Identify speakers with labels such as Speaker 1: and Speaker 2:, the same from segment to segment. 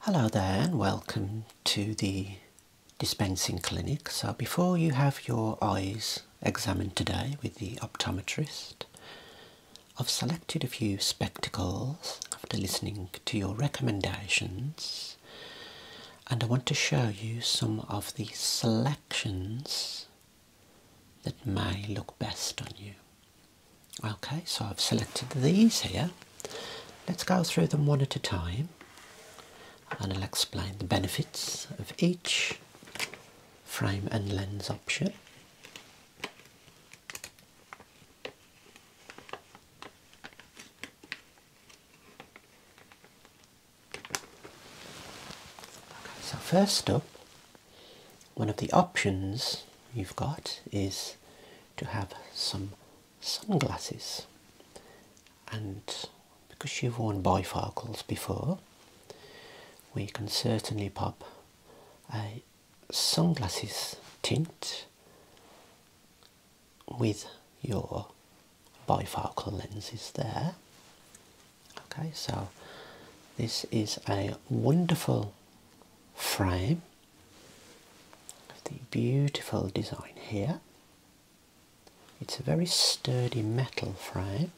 Speaker 1: Hello there and welcome to the dispensing clinic. So before you have your eyes examined today with the optometrist, I've selected a few spectacles after listening to your recommendations and I want to show you some of the selections that may look best on you. Okay, so I've selected these here. Let's go through them one at a time and I'll explain the benefits of each frame and lens option. so first up, one of the options you've got is to have some sunglasses and because you have worn bifocals before we can certainly pop a sunglasses tint with your bifocal lenses there okay so this is a wonderful frame of the beautiful design here. It's a very sturdy metal frame.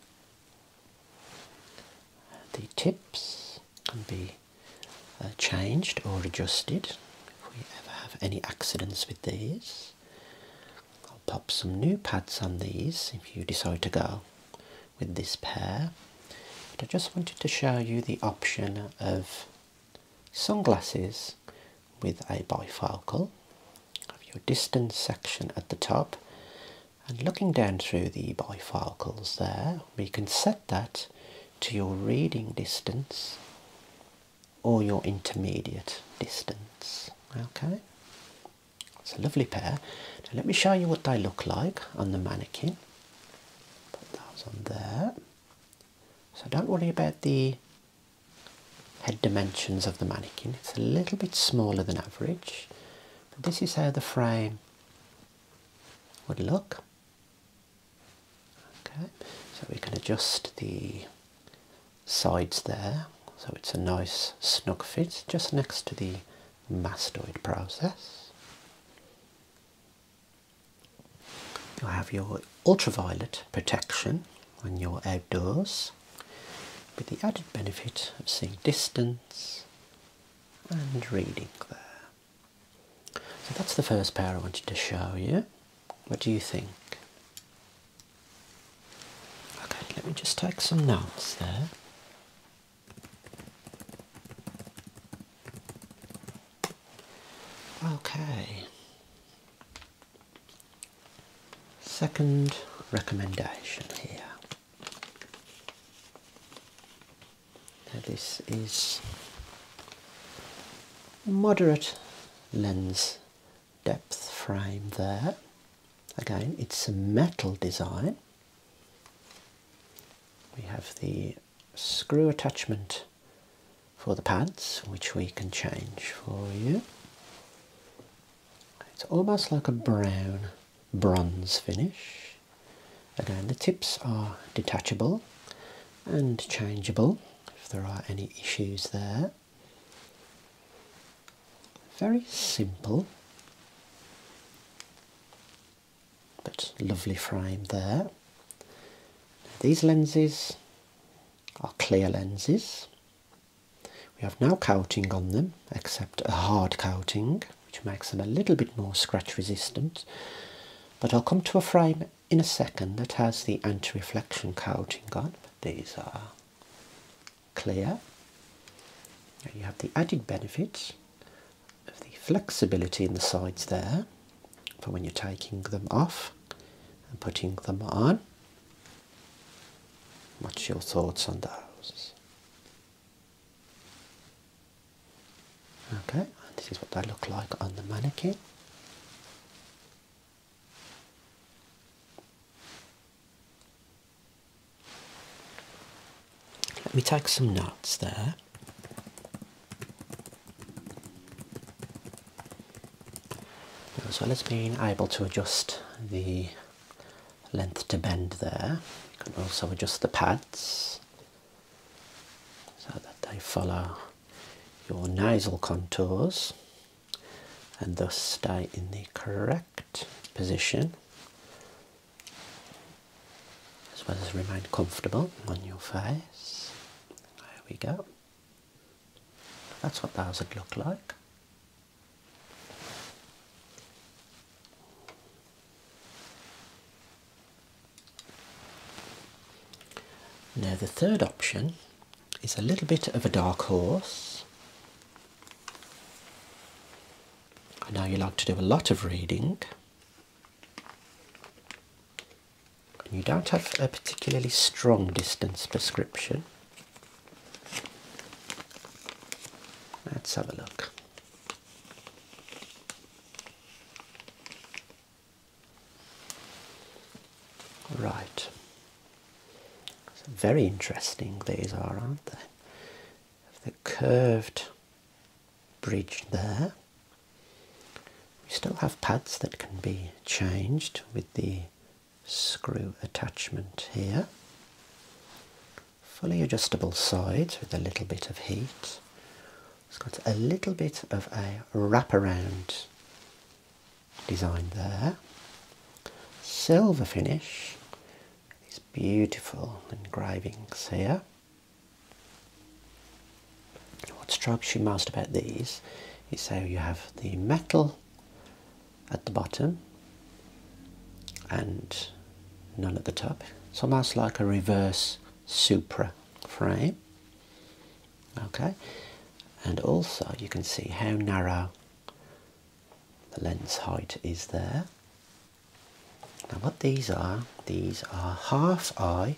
Speaker 1: The tips can be uh, changed or adjusted if we ever have any accidents with these. I'll pop some new pads on these if you decide to go with this pair. But I just wanted to show you the option of sunglasses with a bifocal. Have your distance section at the top, and looking down through the bifocals there, we can set that to your reading distance or your intermediate distance. Okay, it's a lovely pair. let me show you what they look like on the mannequin. Put those on there. So don't worry about the head dimensions of the mannequin. It's a little bit smaller than average. this is how the frame would look. Okay, so we can adjust the sides there so it's a nice snug fit just next to the mastoid process. You have your ultraviolet protection when you're outdoors with the added benefit of seeing distance and reading there. So that's the first pair I wanted to show you. What do you think? Okay, let me just take some notes there. Okay. Second recommendation here. this is moderate lens depth frame there. Again, it's a metal design. We have the screw attachment for the pads, which we can change for you. It's almost like a brown bronze finish. Again, the tips are detachable and changeable if there are any issues there. Very simple, but lovely frame there. these lenses are clear lenses. We have no coating on them except a hard coating, which makes them a little bit more scratch resistant. But I'll come to a frame in a second that has the anti reflection coating on. these are clear. you have the added benefit of the flexibility in the sides there for when you're taking them off and putting them on. What's your thoughts on those? Okay, this is what they look like on the mannequin. Let me tag some nuts there. So let's been able to adjust the length to bend there. You can also adjust the pads so that they follow your nasal contours and thus stay in the correct position as well as remain comfortable on your face. There we go. That's what those would look like. Now, the third option is a little bit of a dark horse I know you like to do a lot of reading. You don't have a particularly strong distance prescription. Let's have a look. Right, so very interesting these are, aren't they? The curved bridge there. We still have pads that can be changed with the screw attachment here. Fully adjustable sides with a little bit of heat. It's got a little bit of a wraparound design there. Silver finish, these beautiful engravings here. What strikes you most about these is how you have the metal at the bottom and none at the top. It's almost like a reverse Supra frame. Okay, and also you can see how narrow the lens height is there. Now, what these are, these are half eye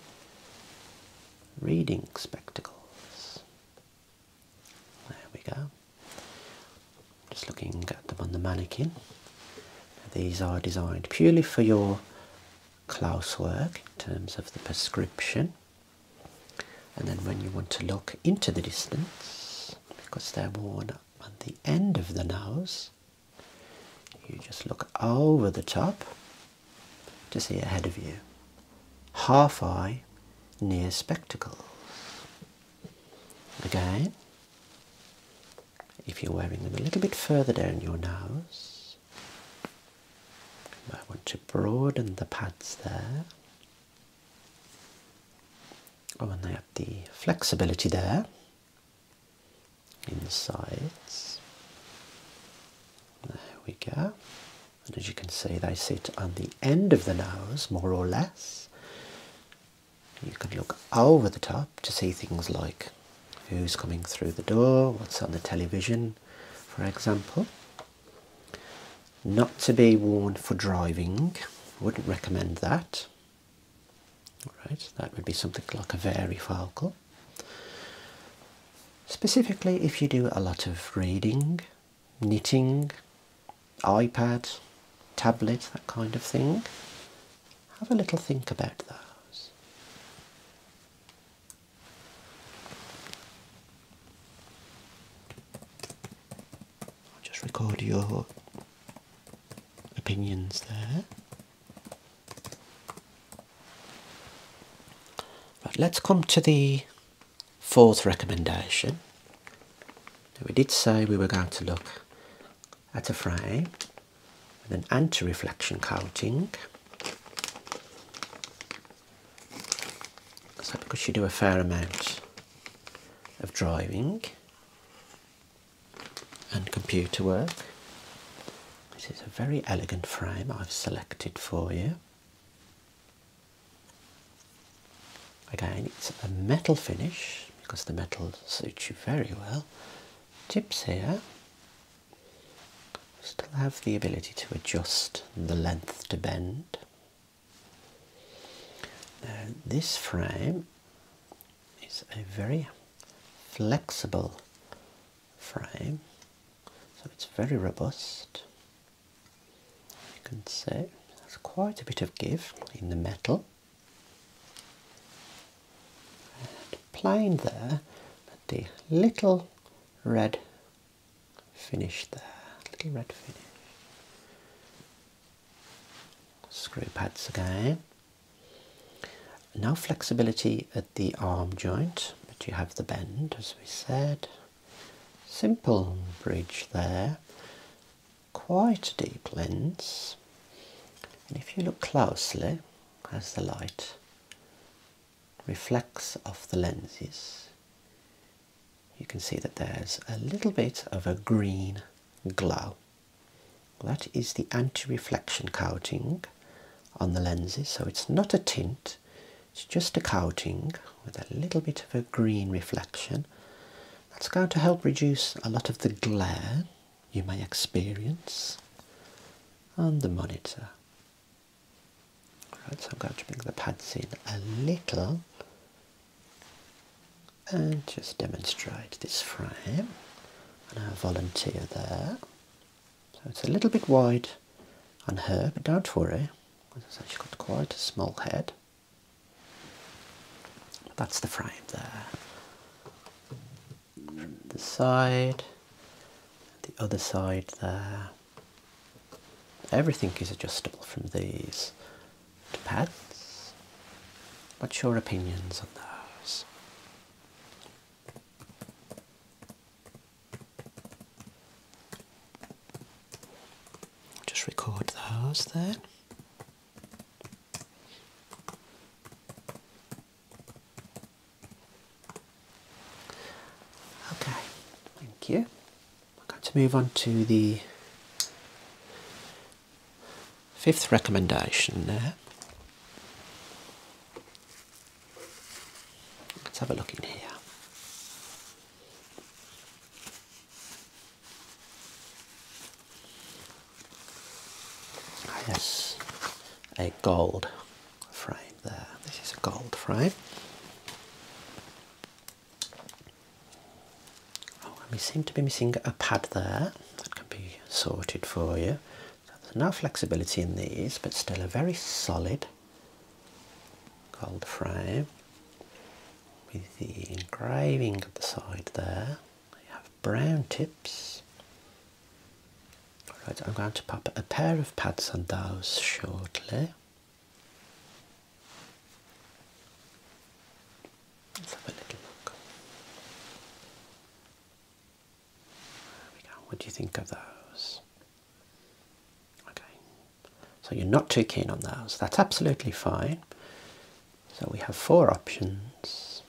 Speaker 1: reading spectacles. There we go. Just looking at them on the mannequin. These are designed purely for your work in terms of the prescription. And then when you want to look into the distance, because they're worn on the end of the nose, you just look over the top to see ahead of you. Half eye near spectacles. Again, if you're wearing them a little bit further down your nose, you might want to broaden the pads there Oh, and they have the flexibility there in the sides. There we go. And as you can see, they sit on the end of the nose, more or less. You can look over the top to see things like who's coming through the door, what's on the television, for example. Not to be worn for driving, wouldn't recommend that. All right, that would be something like a very varifocal. Specifically, if you do a lot of reading, knitting, iPad, tablet, that kind of thing, have a little think about those. I'll just record your opinions there. Right, let's come to the fourth recommendation. we did say we were going to look at a frame with an anti-reflection coating because you do a fair amount of driving and computer work, this is a very elegant frame I've selected for you. Again, it's a metal finish because the metal suits you very well. Tips here Still have the ability to adjust the length to bend. this frame is a very flexible frame, so it's very robust. You can see there's quite a bit of give in the metal. And plain there, but the little red finish the little red finish. Screw pads again. No flexibility at the arm joint, but you have the bend as we said. Simple bridge there, quite a deep lens. And if you look closely, as the light reflex off the lenses, you can see that there's a little bit of a green glow. That is the anti-reflection coating on the lenses, so it's not a tint, it's just a coating with a little bit of a green reflection. That's going to help reduce a lot of the glare you may experience on the monitor. Right, so I'm going to bring the pads in a little and just demonstrate this frame and our volunteer there. So it's a little bit wide on her, but don't worry, she's got quite a small head. that's the frame there the side, the other side there. Everything is adjustable from these to pads. What's your opinions on those? Just record those there. Okay, thank you. I'm going to move on to the fifth recommendation there. Let's have a look in here. Yes, a gold frame there. This is a gold frame. Oh, and we seem to be missing a pad there. That can be sorted for you. there's no flexibility in these, but still a very solid gold frame with the engraving at the side there. You have brown tips Alright, I'm going to pop a pair of pads on those shortly. Let's have a little look. There we go. What do you think of those? Okay. So you're not too keen on those. That's absolutely fine. So we have four options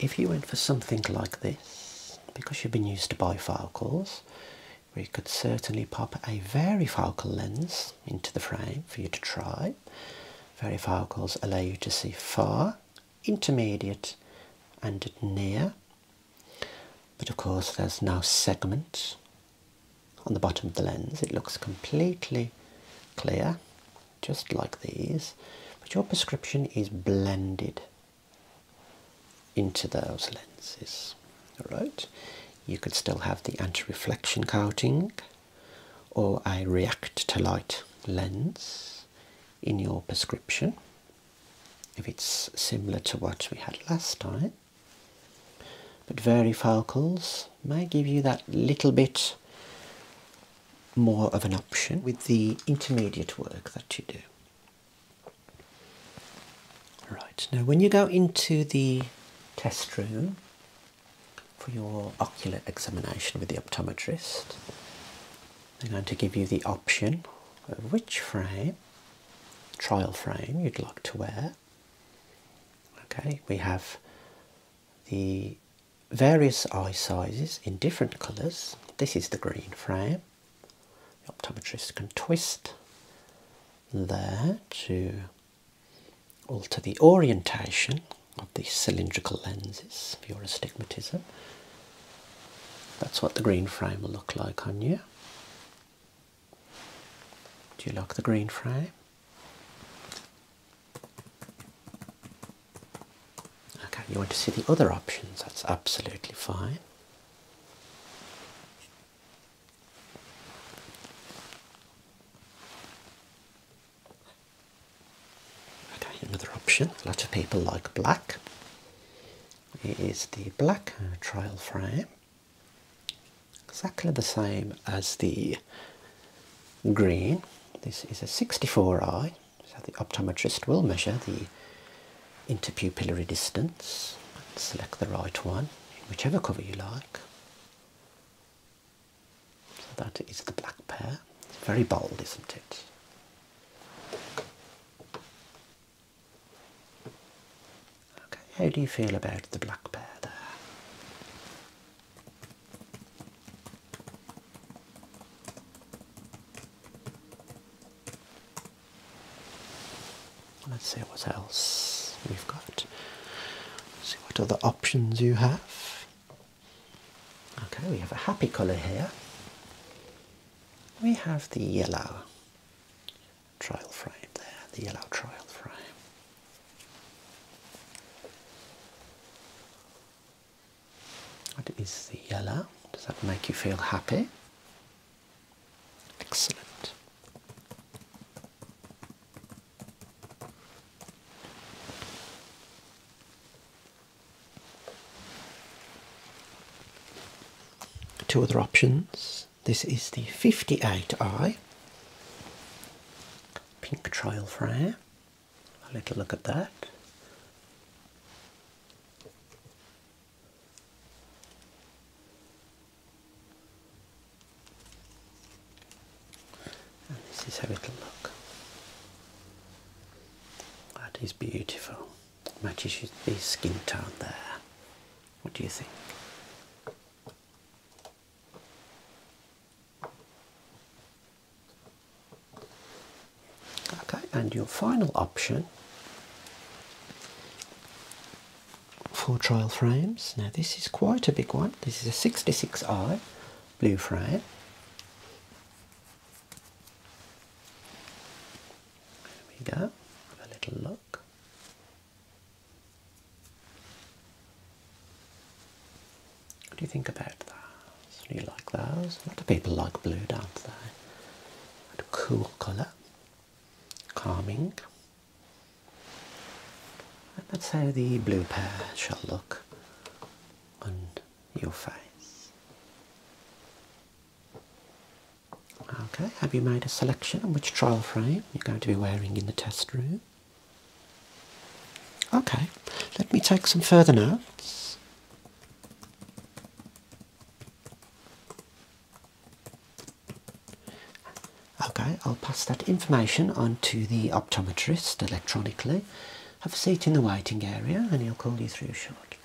Speaker 1: if you went for something like this, because you've been used to bifocals, we could certainly pop a very varifocal lens into the frame for you to try. Very Varifocals allow you to see far, intermediate, and near. But of course, there's no segment on the bottom of the lens. It looks completely clear, just like these, but your prescription is blended into those lenses. All right, you could still have the anti-reflection coating or a react to light lens in your prescription if it's similar to what we had last time but very varifocals may give you that little bit more of an option with the intermediate work that you do. Right, now when you go into the test room for your ocular examination with the optometrist, they're going to give you the option of which frame, trial frame, you'd like to wear. Okay, we have the various eye sizes in different colours. This is the green frame. The optometrist can twist there to alter the orientation of the cylindrical lenses for your astigmatism. That's what the green frame will look like on you. Do you like the green frame? Okay, you want to see the other options, that's absolutely fine. Okay, another option, A lot of people like black. Is the black uh, trial frame exactly the same as the green. This is a 64i, so the optometrist will measure the interpupillary distance. Select the right one, whichever cover you like. So that is the black pair. It's very bold, isn't it? Okay, how do you feel about the black bear there? Let's see what else we've got. see what other options you have. Okay, we have a happy colour here. We have the yellow trial frame there, the yellow trial frame. What is the yellow? Does that make you feel happy? Excellent. Two other options this is the 58i pink trial frame. A little look at that. And this is how it'll look. That is beautiful. Matches the skin tone there. What do you think? Okay, and your final option for trial frames. Now, this is quite a big one. This is a 66i blue frame. There we go. Have a little look. What do you think about those? Do you like those? A lot of people like blue, don't they? A cool colour, calming. And that's how the blue pair shall look on your face. Okay, have you made a selection on which trial frame you're going to be wearing in the test room? Okay, let me take some further notes. Okay, I'll pass that information on to the optometrist electronically. Have a seat in the waiting area and he'll call you through shortly.